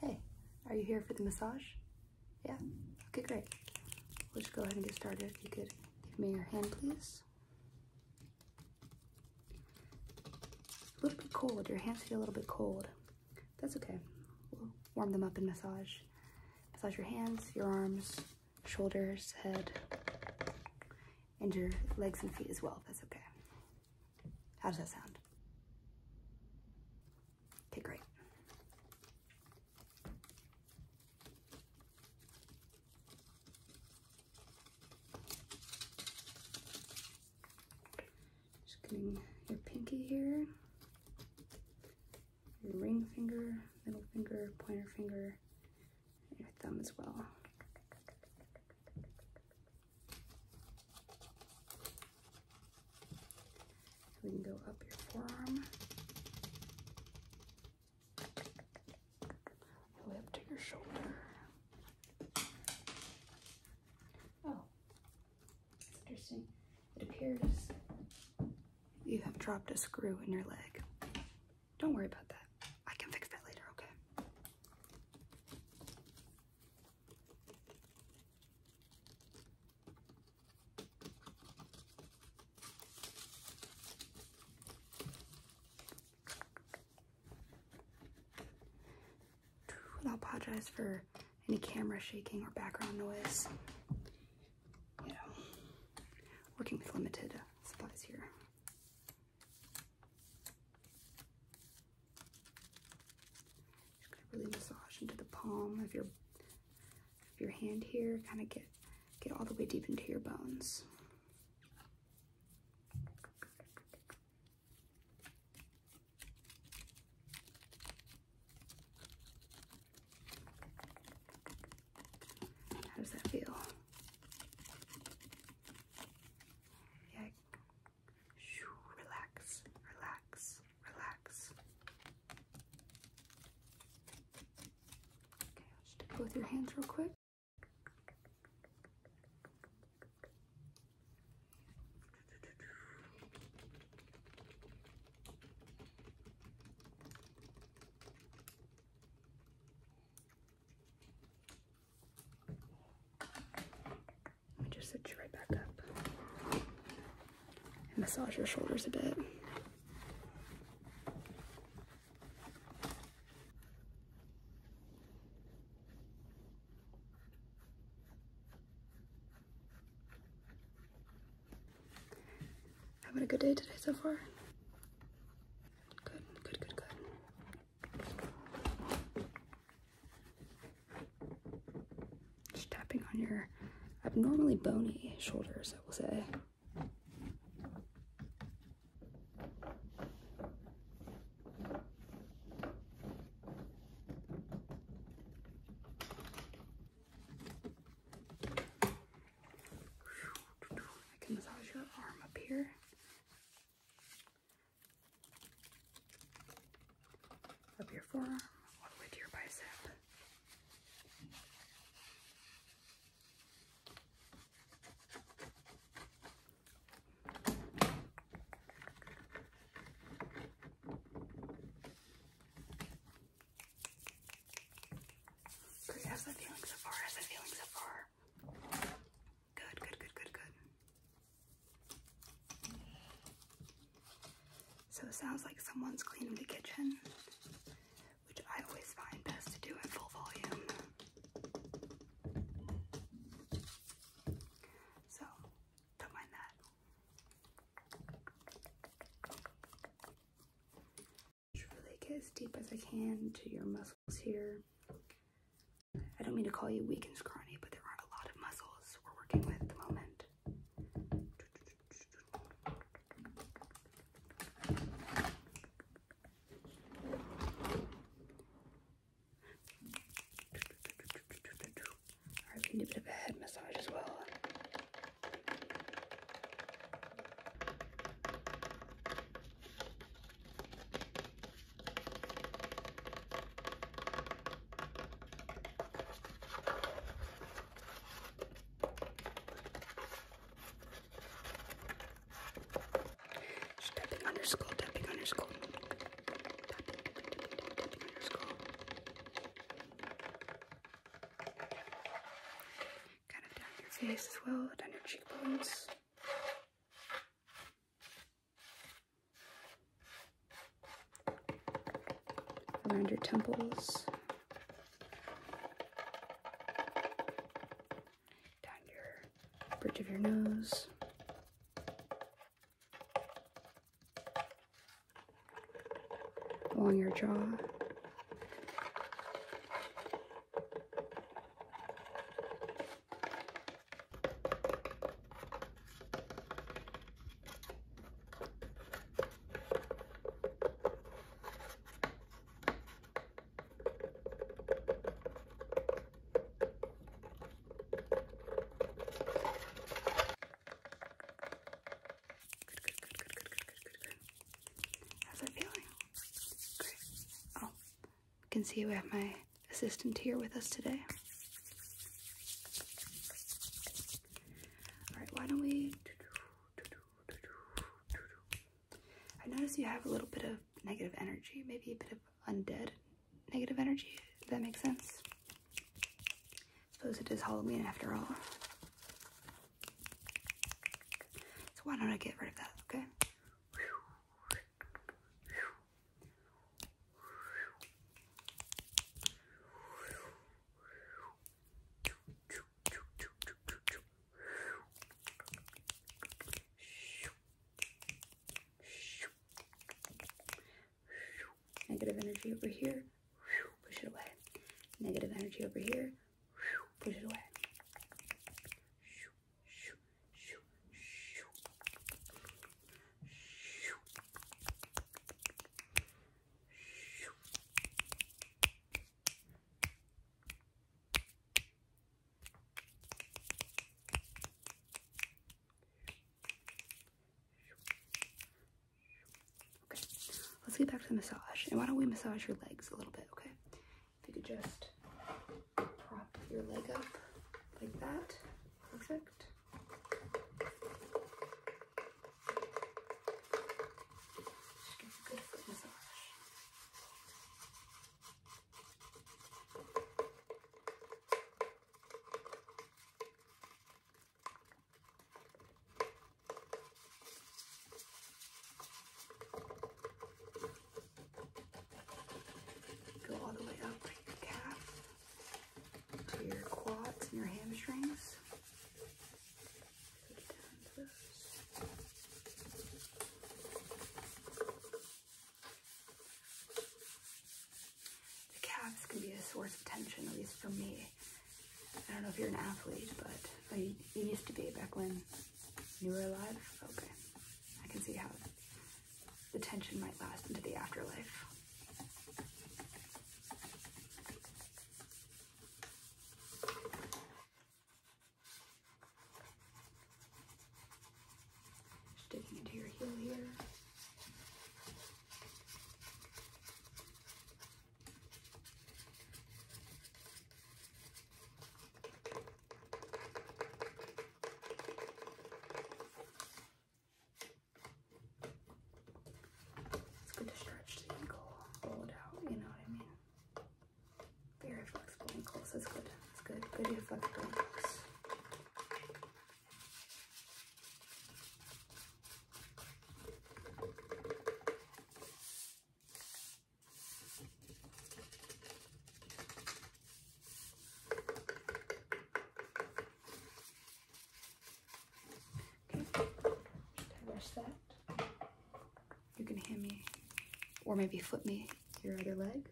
Hey, are you here for the massage? Yeah? Okay, great. We'll just go ahead and get started. If you could give me your hand, please. A little bit cold. Your hands feel a little bit cold. That's okay. We'll warm them up and massage. Massage your hands, your arms, shoulders, head, and your legs and feet as well. That's okay. How does that sound? Okay, great. Just getting your pinky here, your ring finger, middle finger, pointer finger, and your thumb as well we can go up your forearm, way up to your shoulder. Oh, interesting. It appears you have dropped a screw in your leg. Don't worry about that. I can fix that later, okay? I apologize for any camera shaking or background noise. You know, working with limited supplies here. Just gonna really massage into the palm of your of your hand here. Kind of get get all the way deep into your bones. How does that feel? Yeah, Relax, relax, relax. Okay, both your hands real quick. Let me just sit you right back up and massage your shoulders a bit. Having a good day today so far? Good, good, good, good. Just tapping on your abnormally bony shoulders, I will say. I can massage your arm up here. Up your forearm, all to your bicep. how's that feeling so far? How's that feeling so far? Good, good, good, good, good. So it sounds like someone's cleaning the kitchen, which I always find best to do at full volume. So, don't mind that. Just really get as deep as I can to your muscles here. I don't mean to call you weak and scrawny, but there aren't a lot of muscles we're working with at the moment. Alright, can do a bit of a head massage as well. Just tapping underscore, tapping underscore. Tapping underscore. Kind of down your face as well, down your cheekbones around your temples, down your bridge of your nose. along your jaw. Good, good, good, good, good, good, good, good, good. How's it feeling? Great. Oh, you can see we have my assistant here with us today. Alright, why don't we... I notice you have a little bit of negative energy, maybe a bit of undead negative energy. Does that make sense? I suppose it is Halloween after all. So why don't I get rid of that, okay? Negative energy over here, push it away. Negative energy over here, push it away. Okay, let's get back to the massage. And why don't we massage your legs a little bit, okay? If you could just prop your leg up like that. Perfect. Just give a good massage. Go all the way up like your calf to your quads and your hamstrings. The calves can be a source of tension, at least for me. I don't know if you're an athlete, but you, used to be back when you were alive. Okay, I can see how the tension might last into the afterlife. Sticking into your heel here. It's good to stretch the ankle, roll it out, you know what I mean? Very flexible ankles, that's good. It's good, good flexible Okay, should I that? You can hand me, or maybe flip me your other leg.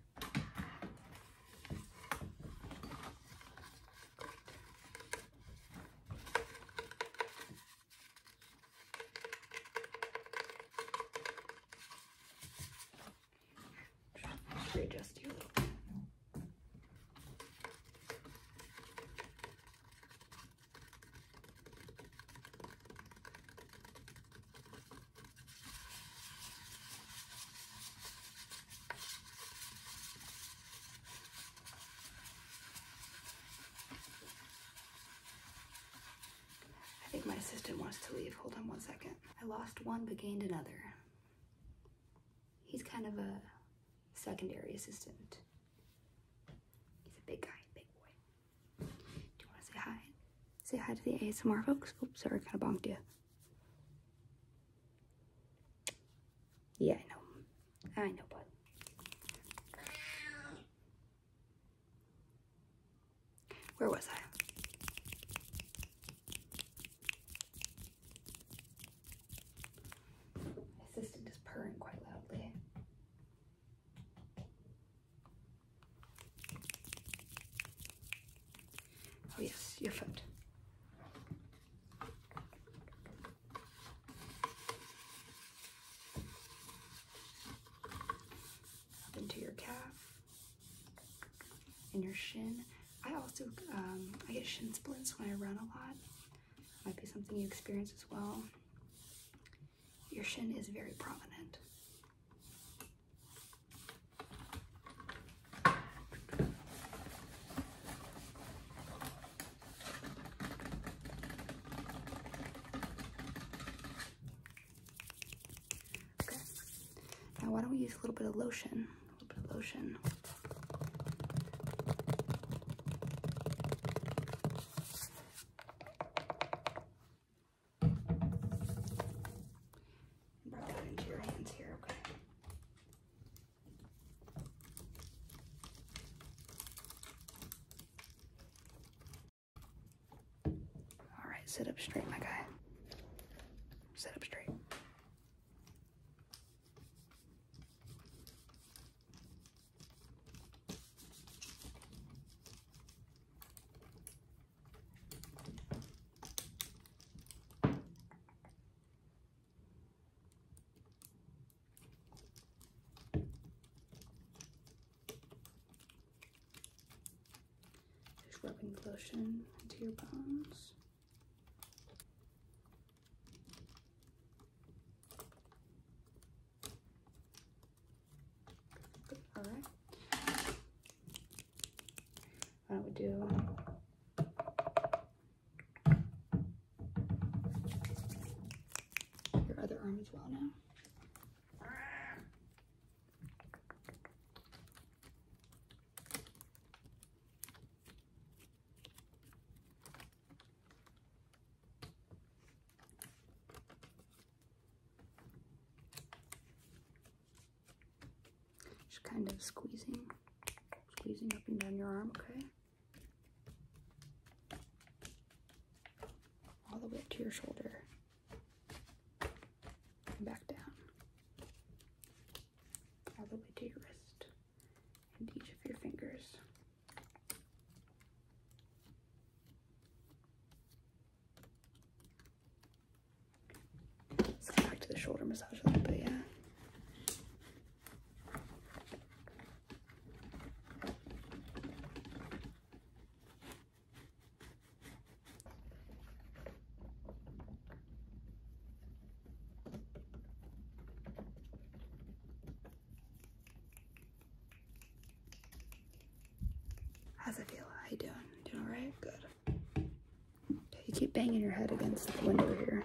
I think my assistant wants to leave. Hold on one second. I lost one but gained another. He's kind of a secondary assistant. He's a big guy, big boy. Do you want to say hi? Say hi to the ASMR folks. Oops, sorry, kind of bonked you. Yeah, I know. I know, bud. Where was I? My assistant is purring quite loudly. Oh yes, your foot. Up into your calf in your shin. I also um, I get shin splints when I run a lot. Might be something you experience as well. Your shin is very prominent. Now why don't we use a little bit of lotion? A little bit of lotion. And that into your hands here, okay? All right, sit up straight, my guy. Sit up straight. Just rubbing lotion into your bones. All right. Why do do your other arm as well now? Just kind of squeezing, squeezing up and down your arm, okay? All the way up to your shoulder back down, all the way to your wrist and each of your fingers. Let's go back to the shoulder massage a yeah. How's it feel? How you doing? Doing alright? Good. you keep banging your head against the window here.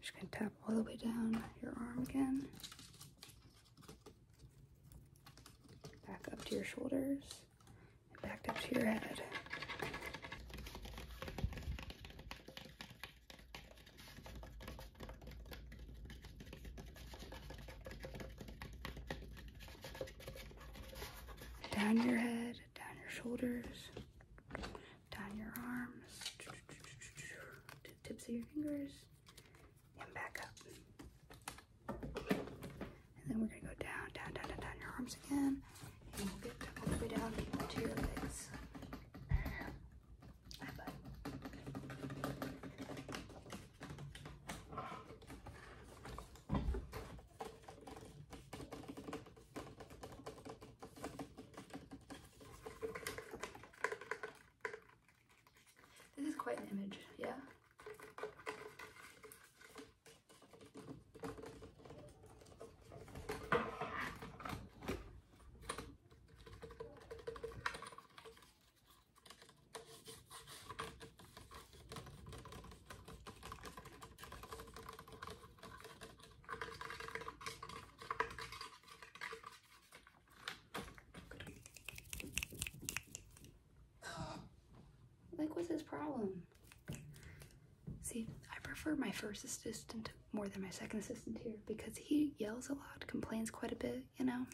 just going to tap all the way down your arm again. Back up to your shoulders. Back up to your head. Down your head, down your shoulders, down your arms, to the tips of your fingers, and back up. And then we're gonna go down, down, down, down, down your arms again all the way down to your legs. This is quite an image, yeah? Like, what's his problem? See, I prefer my first assistant more than my second assistant here because he yells a lot, complains quite a bit, you know?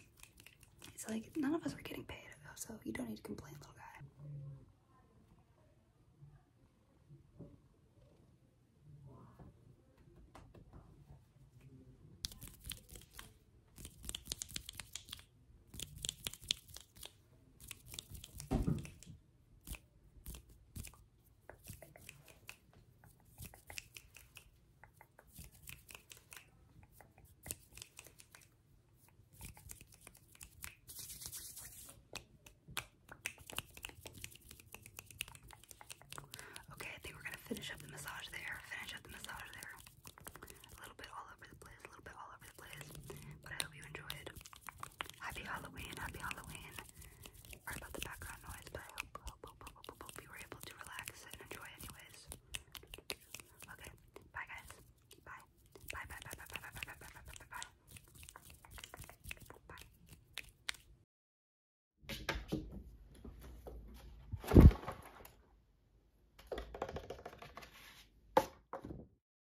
It's like none of us are getting paid, so you don't need to complain, little guy. Okay, I think we're gonna finish up the massage there, finish up the massage there. A little bit all over the place a little bit all over the place. But I hope you enjoyed. Happy Halloween, happy Halloween. Sorry about the background noise, but I hope, you were able to relax and enjoy anyways. Okay, bye guys. Bye. Bye, bye, bye, bye, bye, bye, bye, bye, bye, bye, bye. Bye.